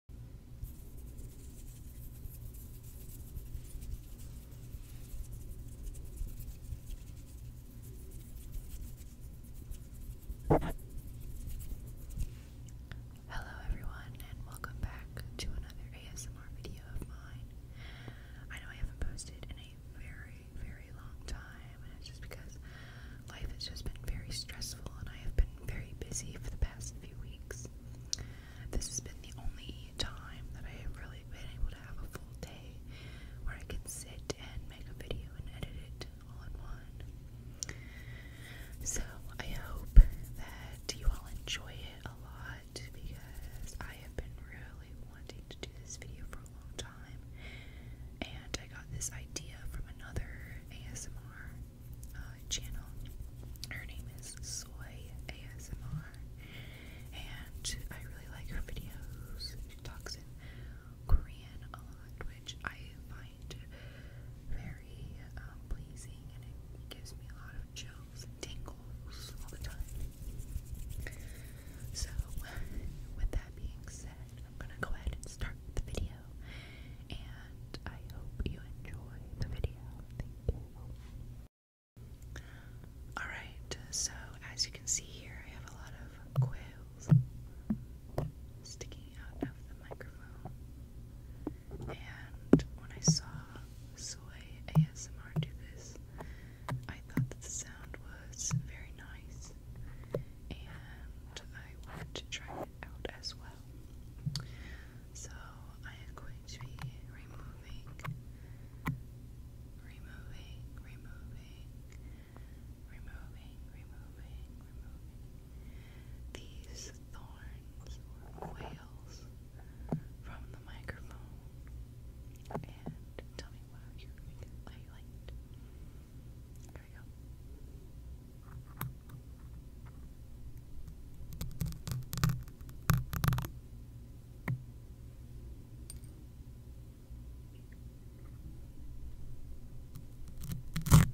Hello everyone and welcome back to another ASMR video of mine. I know I haven't posted in a very, very long time and it's just because life has just been very stressful and I have been very busy for the past past few weeks. This has been the only time that I have really been able to have a full day where I can sit and make a video and edit it all in one. So I hope that you all enjoy it a lot because I have been really wanting to do this video for a long time and I got this idea from another ASMR uh, channel. Her name is Soy ASMR, and I really like her videos. She talks in Korean a lot, which I find very um, pleasing, and it gives me a lot of chills and tingles all the time. So, with that being said, I'm gonna go ahead and start the video and I hope you enjoy the video. Alright, so as you can see here, I have a lot of quills sticking out of the microphone, and when I saw Soy ASMR do this, I thought that the sound was very nice, and I wanted to try it out as well. So I am going to be removing, removing, removing, removing, removing, removing these thorns or whales from the microphone. And tell me what you think I liked. There we I'm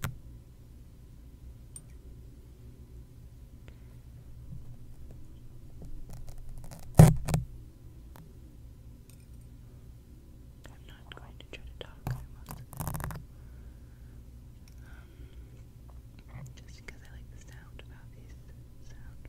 not going to try to talk very just because I like the sound of these sound.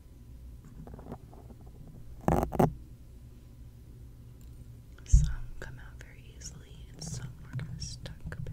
Some come out very easily, and some are kind of stuck a bit.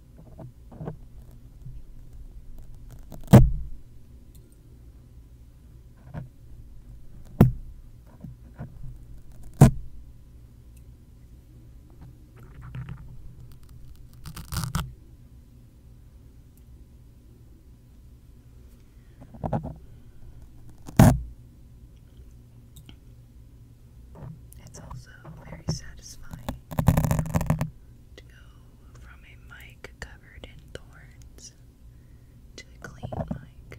It's also very satisfying to go from a mic covered in thorns to a clean mic.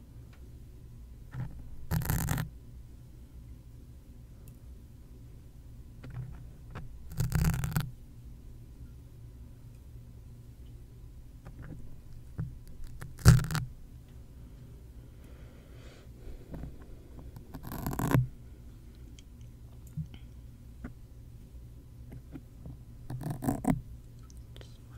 Just one more. Two.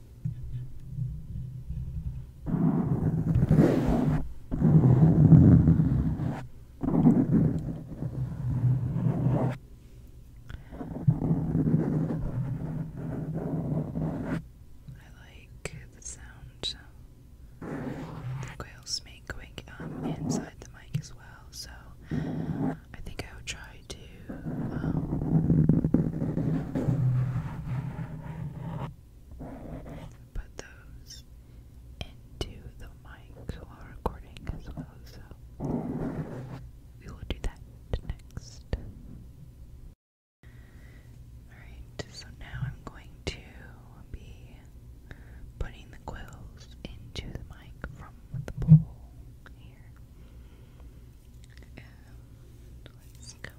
like the sound the quails make going um, inside the mic as well, so I think I will try to. Um, put those into the mic while recording as well, so we will do that next. Alright, so now I'm going to be putting the quills into the mic from the bowl here. And let's go. Okay.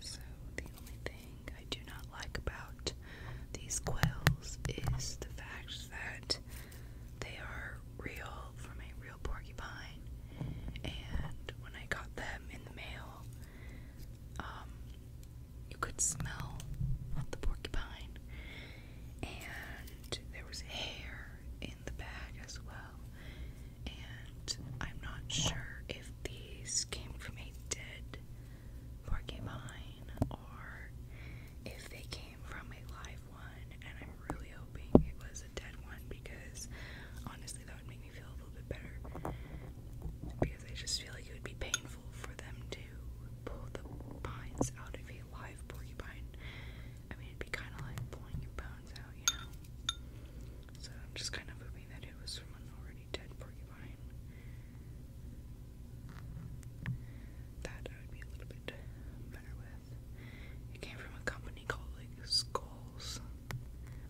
So the only thing I do not like about these quills is the fact that they are real from a real porcupine. And when I got them in the mail, um, you could smell the porcupine, and there was hair in the bag as well. And I'm not sure if these came from a dead porcupine, or if they came from a live one, and I'm really hoping it was a dead one because honestly, that would make me feel a little bit better. Because I just feel like it would be painful for them to pull the pines out of a live porcupine. I mean, it'd be kind of like pulling your bones out, you know? So I'm just kind of hoping that it was from an already that would be a little bit better with. It came from a company called Skulls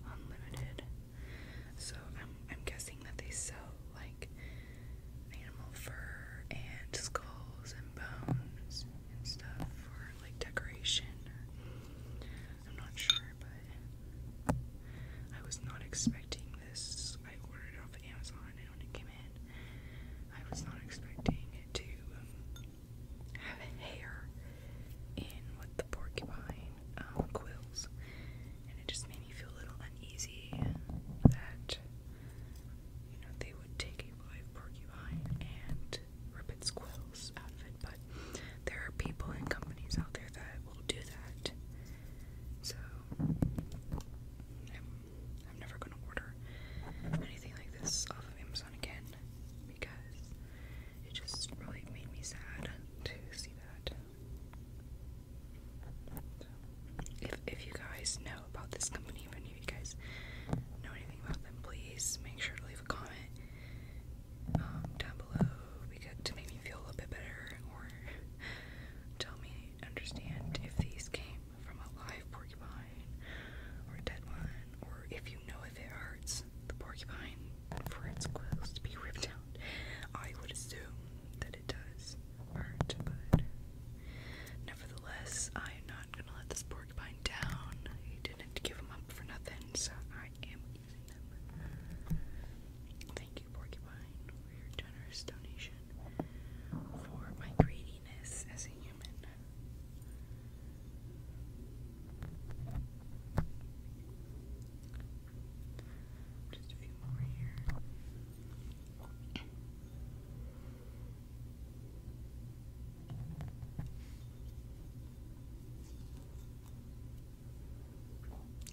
Unlimited. So I'm guessing that they sell like animal fur and skulls and bones and stuff for like decoration. I'm not sure, but I was not expecting this. I ordered off Amazon, and when it came in, I was not expecting it to um, have hair in with the porcupine um, quills, and it just made me feel a little uneasy that you know they would take a live porcupine and rip its quills out of it. But there are people and companies out there that will do that. So I'm, never gonna order anything like this off of Amazon again because it just really made me sad to see that. if if you guys know about this company, if any of you guys know anything about them, please make sure to leave a comment um, down below because, to make me feel a little bit better or tell me understand if these came from a live porcupine or a dead one or if you know if it hurts the porcupine for its quills to be ripped out. I would assume that it does hurt, but nevertheless, I am not gonna let this porcupine down. He didn't give him up for nothing, so I am Thank you, Porcupine, for your generous donation for my greediness as a human. Just a few more here.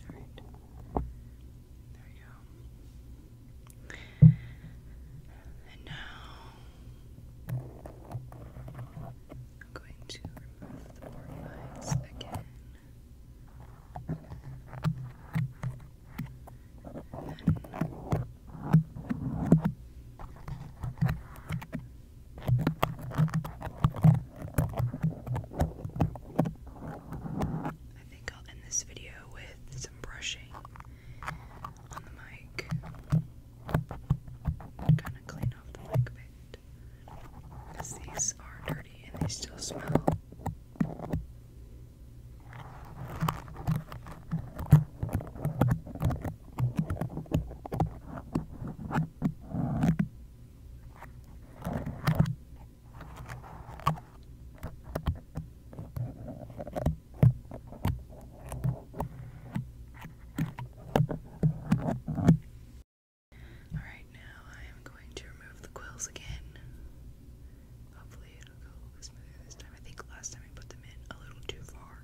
Alright. There you go. And now I'm going to remove the board lines again. I think I'll end this video with some brushing on the mic to kind of clean off the mic a bit because these are dirty and they still smell. Alright, now I am going to remove the quills again. Hopefully, it'll go smoother this time. I think last time I put them in a little too far.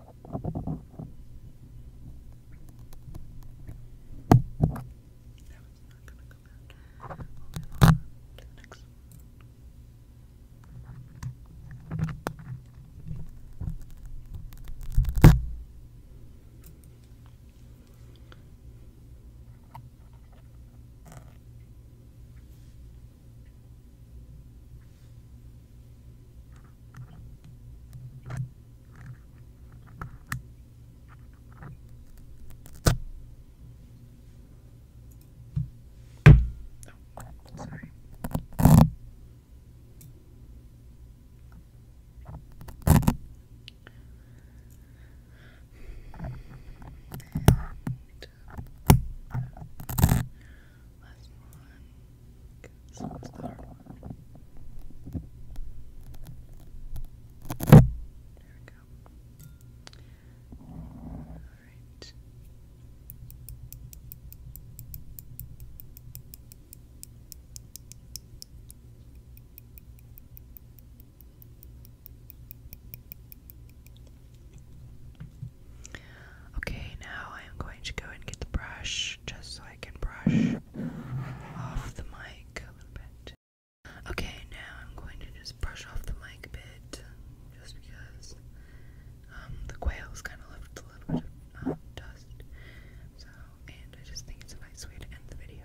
not gonna come out. We'll move on to the next one. Okay. Oh, sorry. And, uh, last one. This one's the one. There we go. Alright. Okay, now I'm going to go and get the brush just so I can brush off the mic a little bit. Okay, now I'm going to just brush off the mic a bit just because um, the quails kind of left a little bit of um, dust. So, and I just think it's a nice way to end the video.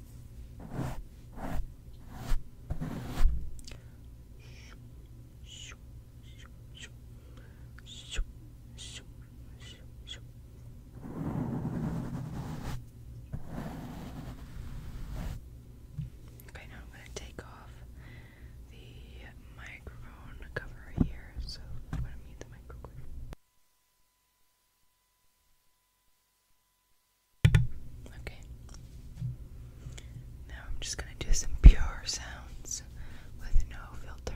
Okay, now I'm going to take off the microphone cover here, so I'm going to mute the microphone. Now I'm just going to do some pure sounds with no filter.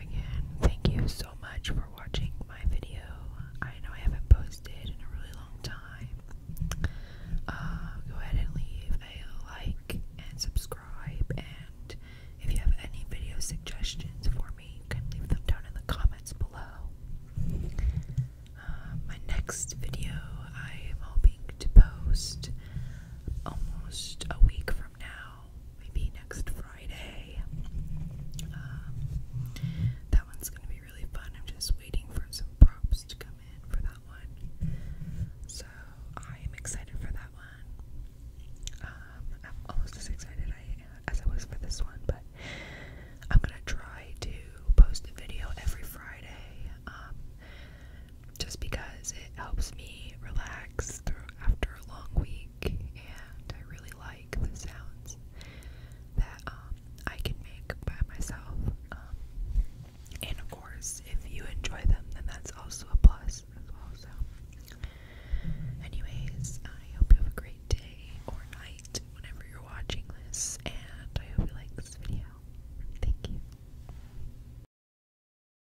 Again, thank you so much for watching my video. I know I haven't posted in a really long time. Uh, go ahead and leave a like and subscribe. And if you have any video suggestions for me, you can leave them down in the comments below. Uh, my next video, I am hoping to post almost a week from now maybe next Friday. Um, that one's gonna be really fun. I'm just waiting for some props to come in for that one. So I am excited for that one. Um, I'm almost as excited as I was for this one, but I'm gonna try to post a video every Friday. Um, just because it helps me relax after a long week and I really like the sounds that um, I can make by myself. Um, and of course, if you enjoy them, then that's also a plus as anyways, I hope you have a great day or night whenever you're watching this, and I hope you like this video. Thank you.